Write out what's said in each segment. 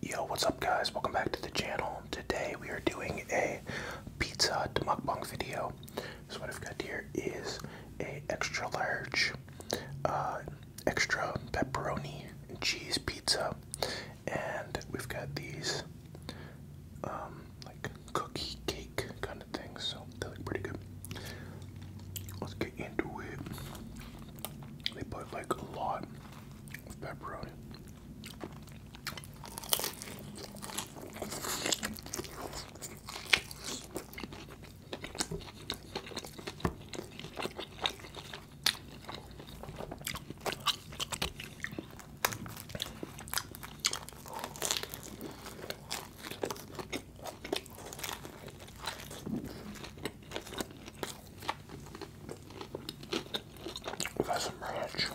Yo, what's up guys? Welcome back to the channel. Today we are doing a pizza mukbang video. So what I've got here is a extra large, uh, extra pepperoni cheese pizza. And we've got these, um, like cookie cake kind of things. So they look pretty good. Let's get into it. They put like a lot pepperoni. That's some ranch.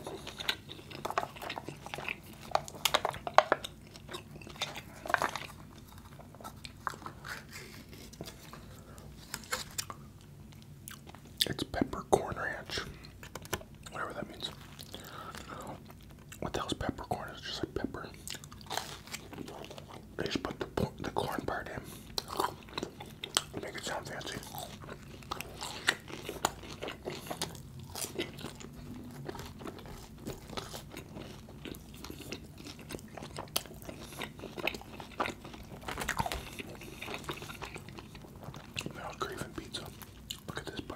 It's peppercorn ranch, whatever that means. What the hell's peppercorn? It's just like pepper. They just put the, the corn part in. Make it sound fancy. Now craving pizza. Look at this bite.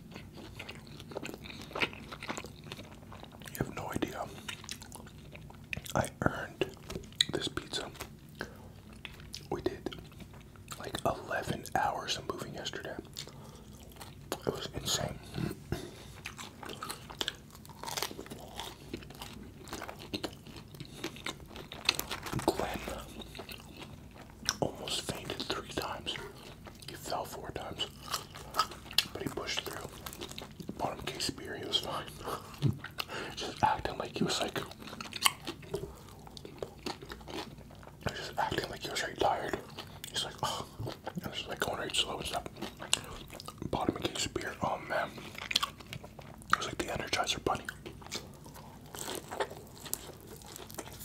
You have no idea. I earned this pizza. We did like 11 hours of moving yesterday. It was insane almost fainted three times. He fell four times, but he pushed through. Bottom case of beer. He was fine. Just acting like he was like. Just acting like he was really tired. He's like, oh, I was like going really slow and stuff. Bottom a case of beer. Oh man, it was like the Energizer Bunny.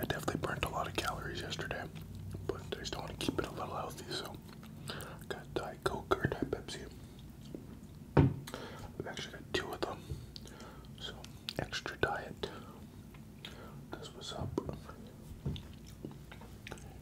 I definitely burnt a lot of calories yesterday, but I still want to keep it a little healthy, so I got Diet Coke or Diet Pepsi. I've actually got two of them, so extra diet. This was up.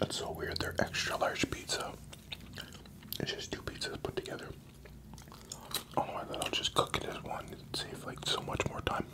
That's so weird. They're extra large pizza. It's just two pizzas put together. I'll just cook it as one and save like so much more time.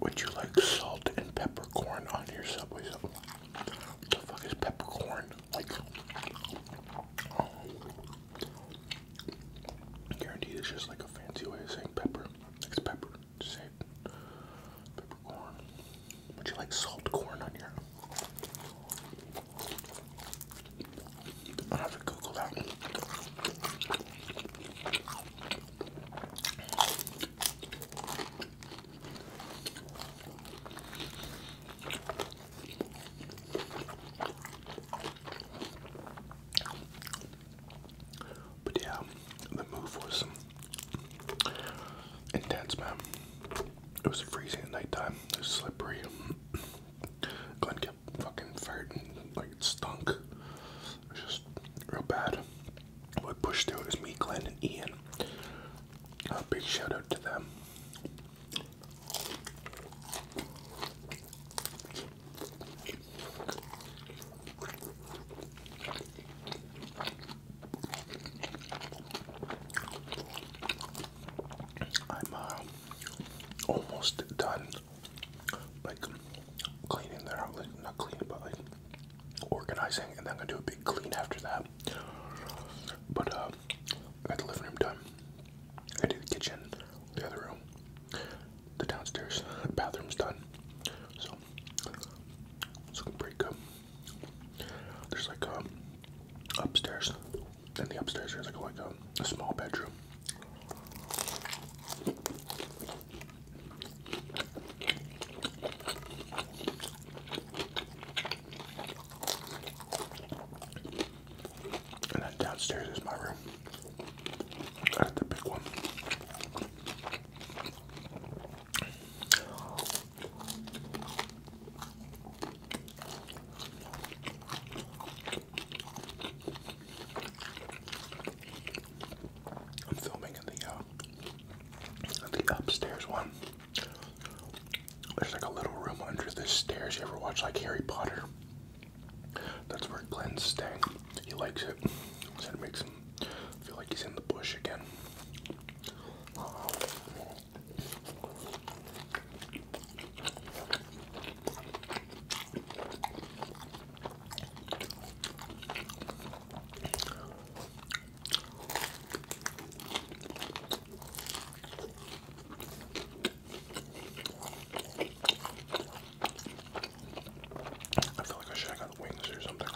Would you like salt and peppercorn on your subway? Sub what the fuck is peppercorn? Like, oh. guaranteed it's just like a fancy way of saying pepper. It's pepper, save peppercorn. Would you like salt corn on your? I have to Google that. But yeah, the move was intense, man. It was freezing at nighttime. It was slippery. Glenn kept fucking farting, like it stunk. It was just real bad. What pushed through it was me, Glenn, and Ian. A big shout out to them. I'm uh, almost done, like cleaning There, outlet, not cleaning, but like organizing, and then I'm gonna do a big clean after that. But uh, I got the living room done, I did the kitchen, the other room, the downstairs bathroom's done. So it's looking pretty good. There's like um, upstairs. and the upstairs there's like like a, a small bedroom. And then downstairs is my room. I am filming in the uh, the upstairs one. There's like a little room under the stairs. You ever watch like Harry Potter? That's where Glenn's staying. He likes it. it makes him feel like he's in the bush again. I feel like I should have got wings or something.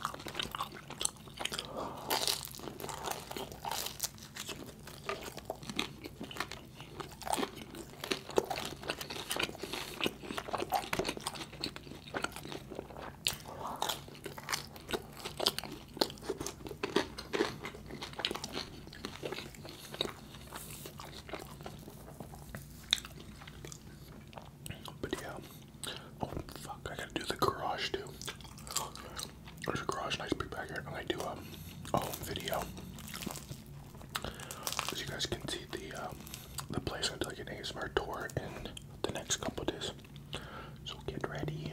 But Oh fuck! I gotta do the garage too. There's a garage, nice big backyard. I'm gonna do um, a, home video. As you guys can see, the um, the place I'm taking an ASMR tour in the next couple days. So get ready.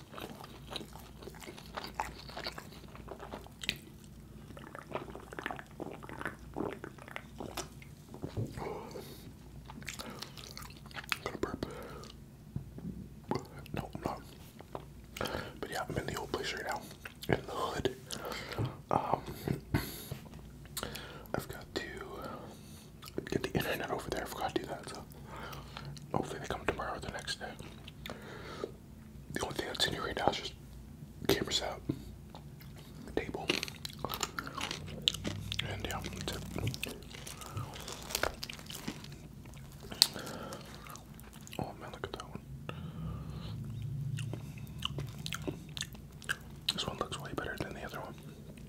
Gonna burp. No, I'm not. But yeah, I'm in the old place right now. In the hood. Um I've got to get the internet over there. I forgot to do that. So hopefully they come tomorrow or the next day. The only thing that's in here right now is just cameras out, table, and yeah, that's it. Oh man, look at that one. This one looks way better than the other one.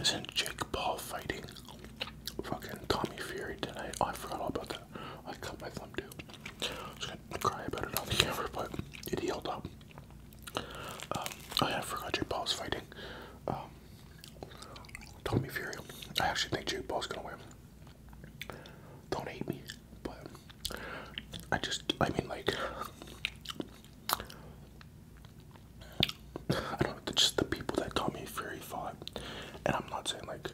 Isn't Jake Paul fighting fucking Tommy Fury tonight? Oh, I forgot about that. I cut my thumb too. I am just gonna cry about it on the camera, but it healed up. Um, oh, I forgot Jake Paul's fighting. Um, Tommy Fury. I actually think Jake Paul's gonna win. Don't hate me, but I just, I mean, like, I don't know, just the people that Tommy Fury fought. And I'm not saying, like,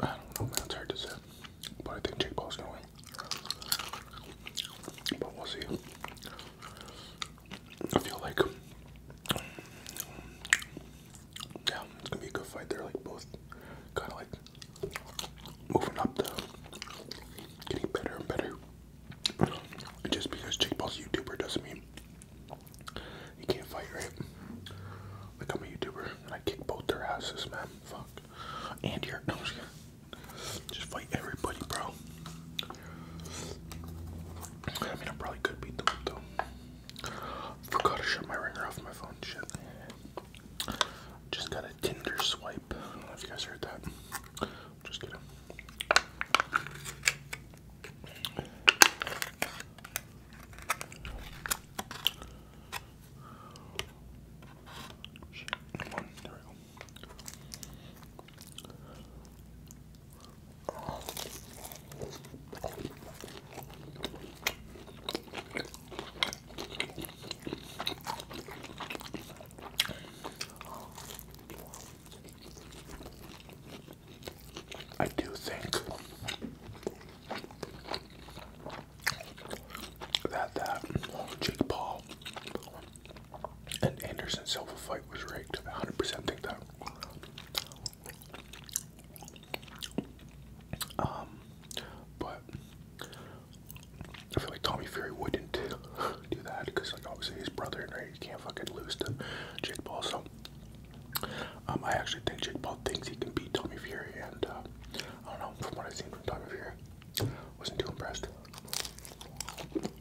I don't know, man, it's hard to say. But I think Jake Paul's gonna win. But we'll see. I feel like, yeah, it's gonna be a good fight. They're like both kind of like moving up the, getting better and better. just because Jake Paul's a YouTuber doesn't mean you can't fight, right? Like I'm a YouTuber and I kick both their asses, man. Fuck. And you're no, just, just fight everybody, bro. I mean, I probably could beat them up Forgot to shut my ringer off my phone. Shit. Just got a Tinder swipe. I don't know if you guys heard that. Just kidding. Shit, there we go. I do think that that Jake Paul and Anderson Silva fight was rigged. 100% think that. Um, but I feel like Tommy Fury wouldn't do that because, like, obviously his brother, right? You can't fucking lose to Jake Paul. So, um, I actually think Jake Paul thinks he can beat Tommy Fury, and uh, I don't know. From what I've seen from Tommy Fury, wasn't too impressed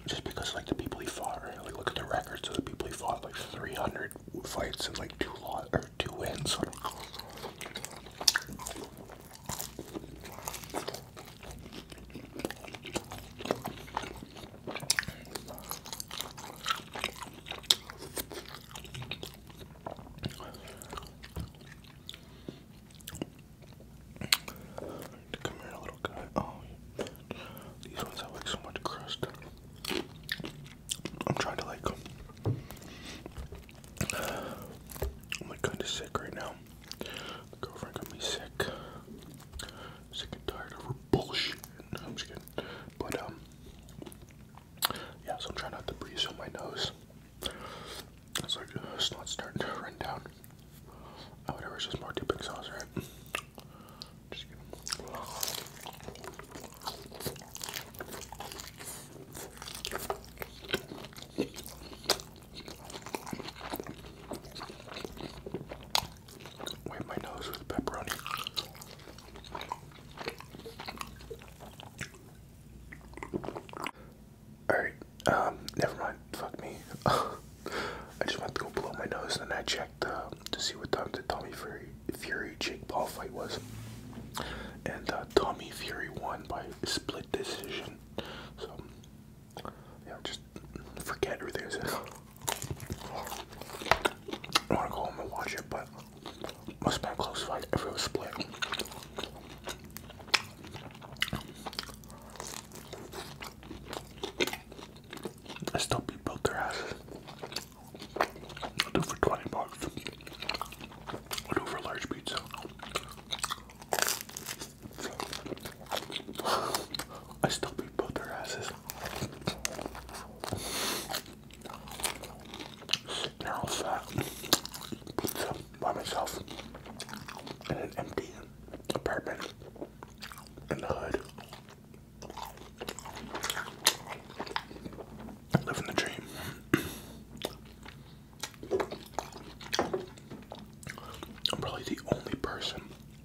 just because like the people he fought, like look at the records of the people he fought, like 300 fights and like two lot or two wins. Come here, little guy. Oh, these ones have like so much crust. I'm trying to like. I'm like kind of sick right now. My girlfriend got me sick. Sick and tired of her bullshit. No, I'm just kidding. But um, yeah. So I'm trying not to breathe through my nose. It's like uh, it's not starting to run down. Oh, whatever. It's just more dipping sauce, right? Just Wipe my nose with pepperoni. Alright, um, never mind. Fuck me. I just went to go blow my nose, and then I checked uh, to see what time the Tommy Fury, Jake Paul fight was, and uh, Tommy Fury won by split decision. So yeah, just forget everything I said. I want to go home and watch it, but must have been a close fight if it was split. I still beat both their asses. i do for 20 bucks. i do for large pizza. I still beat both their asses. They're all fat. Pizza by myself in an empty apartment in the hood. Living the dream. I'm probably the only person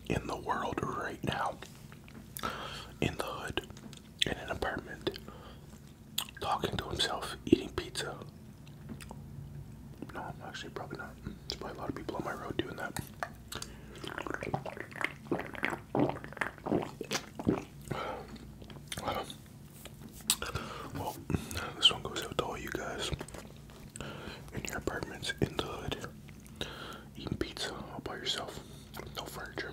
in the world right now in the hood in an apartment talking to himself eating pizza. No, I'm actually probably not. There's probably a lot of people on my road doing that this one goes out to all you guys in your apartments in the hood eating pizza all by yourself, no furniture.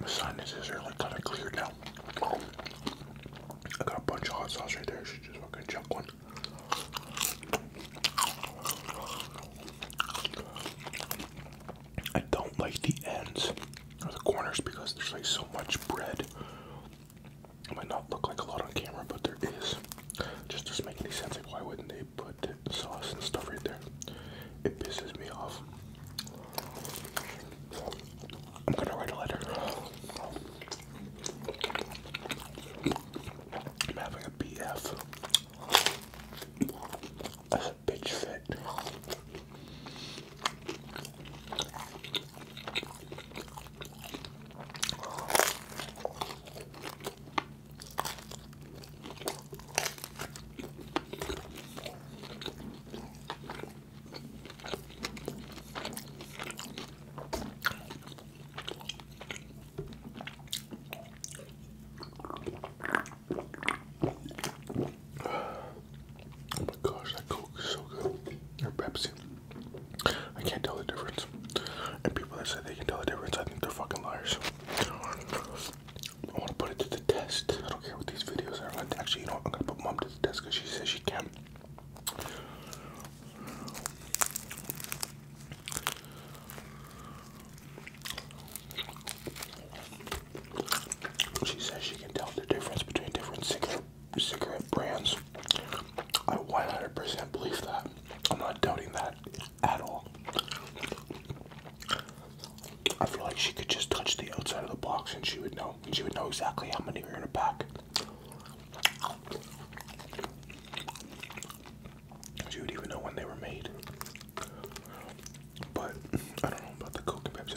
My sinuses are like kind of cleared now. I got a bunch of hot sauce right there. I should just fucking chuck one. I don't like the ends or the corners because there's like so much bread. It might not look like a lot on camera, but there is. Just doesn't make any sense. Like, why wouldn't they they put sauce and stuff right there. It pisses me off. I'm gonna write a letter. I'm having a BF. That's a bitch fit. Oh my gosh, that Coke is so good. Or Pepsi. I can't tell the difference. And people that say they can tell the difference, I think they're fucking liars. I want to put it to the test. I don't care what these videos are. Actually, you know what? I'm going to put mom to the test because she says she can. She says she can tell the difference between different cigarette brands. I 100% believe that. I'm not doubting that at all. I feel like she could just touch the outside of the box and she would know. And she would know exactly how many are in a pack. She would even know when they were made. But I don't know about the Coke Pepsi,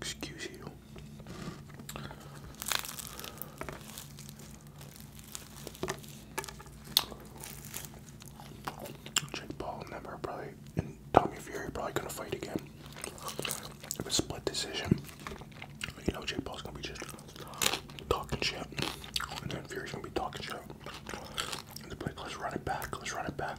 Excuse you. Jake Paul never probably, and Tommy Fury probably gonna fight again. It was split decision. You know, Jake Paul's gonna be just talking shit, and then Fury's gonna be talking shit. let's run it back, let's run it back.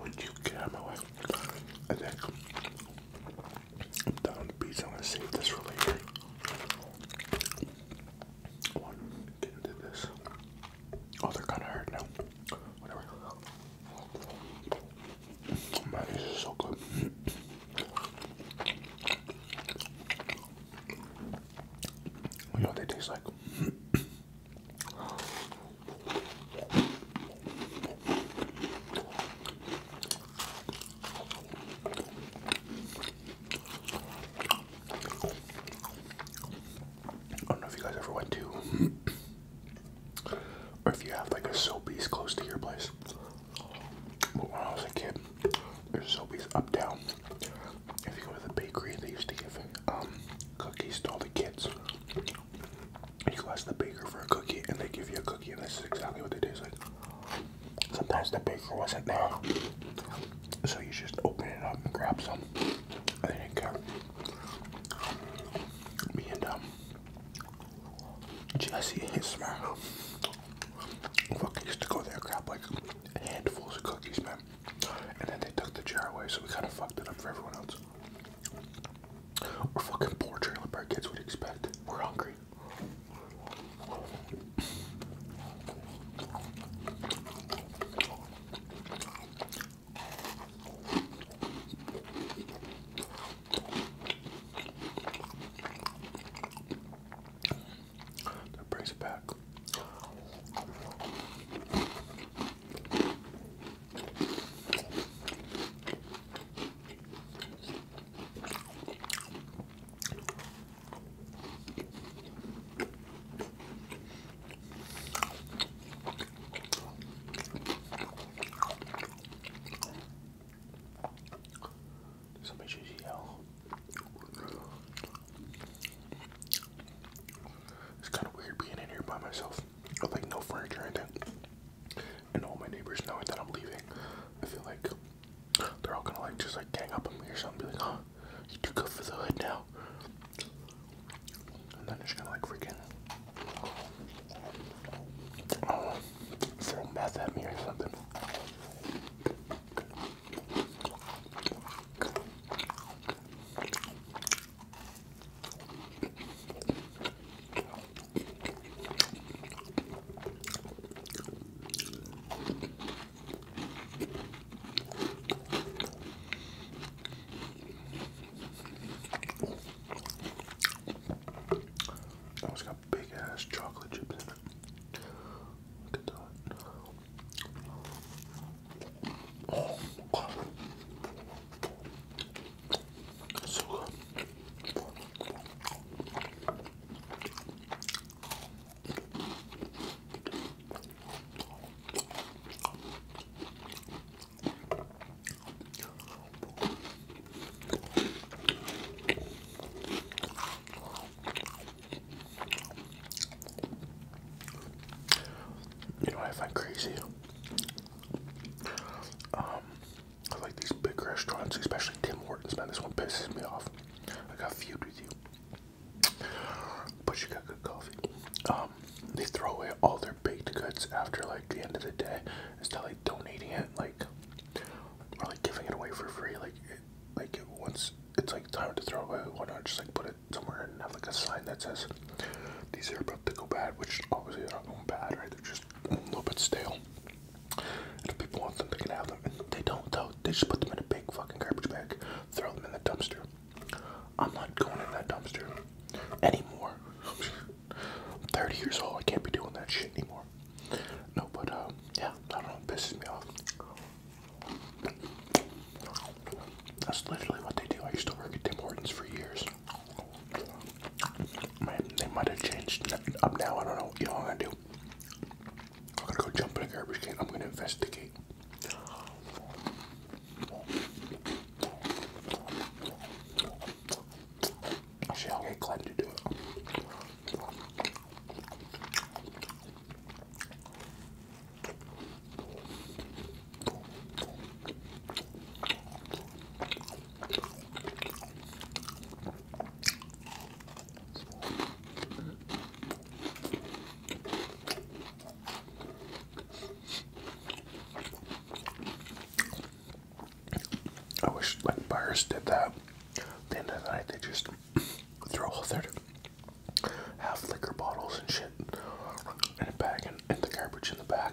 would you get out of my way? And then I'm down on the beach. I'm gonna save this for later. One, get into this. Oh, they're kind of hurt now. Whatever. Man, this is so good. you know what they taste like? I don't know if you guys ever went to, or if you have like a Sobeys close to your place. when I was a kid, there's Sobeys uptown. If you go to the bakery, they used to give um, cookies to all the kids you go ask the baker for a cookie and they give you a cookie and this is exactly what they taste like. Sometimes the baker wasn't there. So you just open it up and grab some. I didn't care. Me and um Jesse Hismer fucking used to go there grab like handfuls of cookies, man. And then they took the jar away, so we kinda fucked it up for everyone else. We're fucking poor trailer park kids would expect. We're hungry. That brings it back. Somebody should yell. It's kind of weird being in here by myself with like no furniture or anything. And all my neighbors knowing that I'm leaving, I feel like they're all gonna like just like gang up on me or something, be like, huh, you too good for the hood now. And then just gonna like freaking uh, throw at me or something. That one's got big ass chocolate chips in it. Look at that. Oh, God. So good. You know, I find crazy um, I like these big restaurants, especially Tim Hortons, man. This one pisses me off. I got feud with you. But you got good coffee. Um, they throw away all their baked goods after like the end of the day instead of like donating it, like or like giving it away for free. Like, like once it's like time to throw away, why not just like put it somewhere and have like a sign that says these are about to go bad, which obviously they're not going bad, right? They're just a little bit stale. And if people want them, they can have them. they don't, though. They just put them in a big fucking garbage bag, throw them in the dumpster. I'm not going in that dumpster anymore. I'm 30 years old. I can't be doing that shit anymore. No, but, um, yeah, I do pisses me off. That's literally what they do. I used to work at Tim Hortons for years. Man, they might have changed up now. I don't know what y'all gonna do. I'm gonna go jump in a garbage can. I'm gonna investigate. Actually, I'll get Glenn to do it. I wish like buyers did that. At the end of the night, they just throw all their half liquor bottles and shit in the bag and, and the garbage in the back.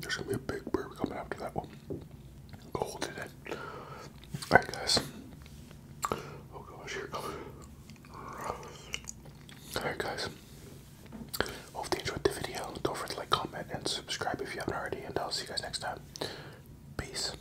There's gonna be a big bird coming after that one. Cold today. Alright guys. Oh gosh, here it comes. Alright guys. Hope you enjoyed the video. Don't forget to like, comment, and subscribe if you haven't already, and I'll see you guys next time. Peace.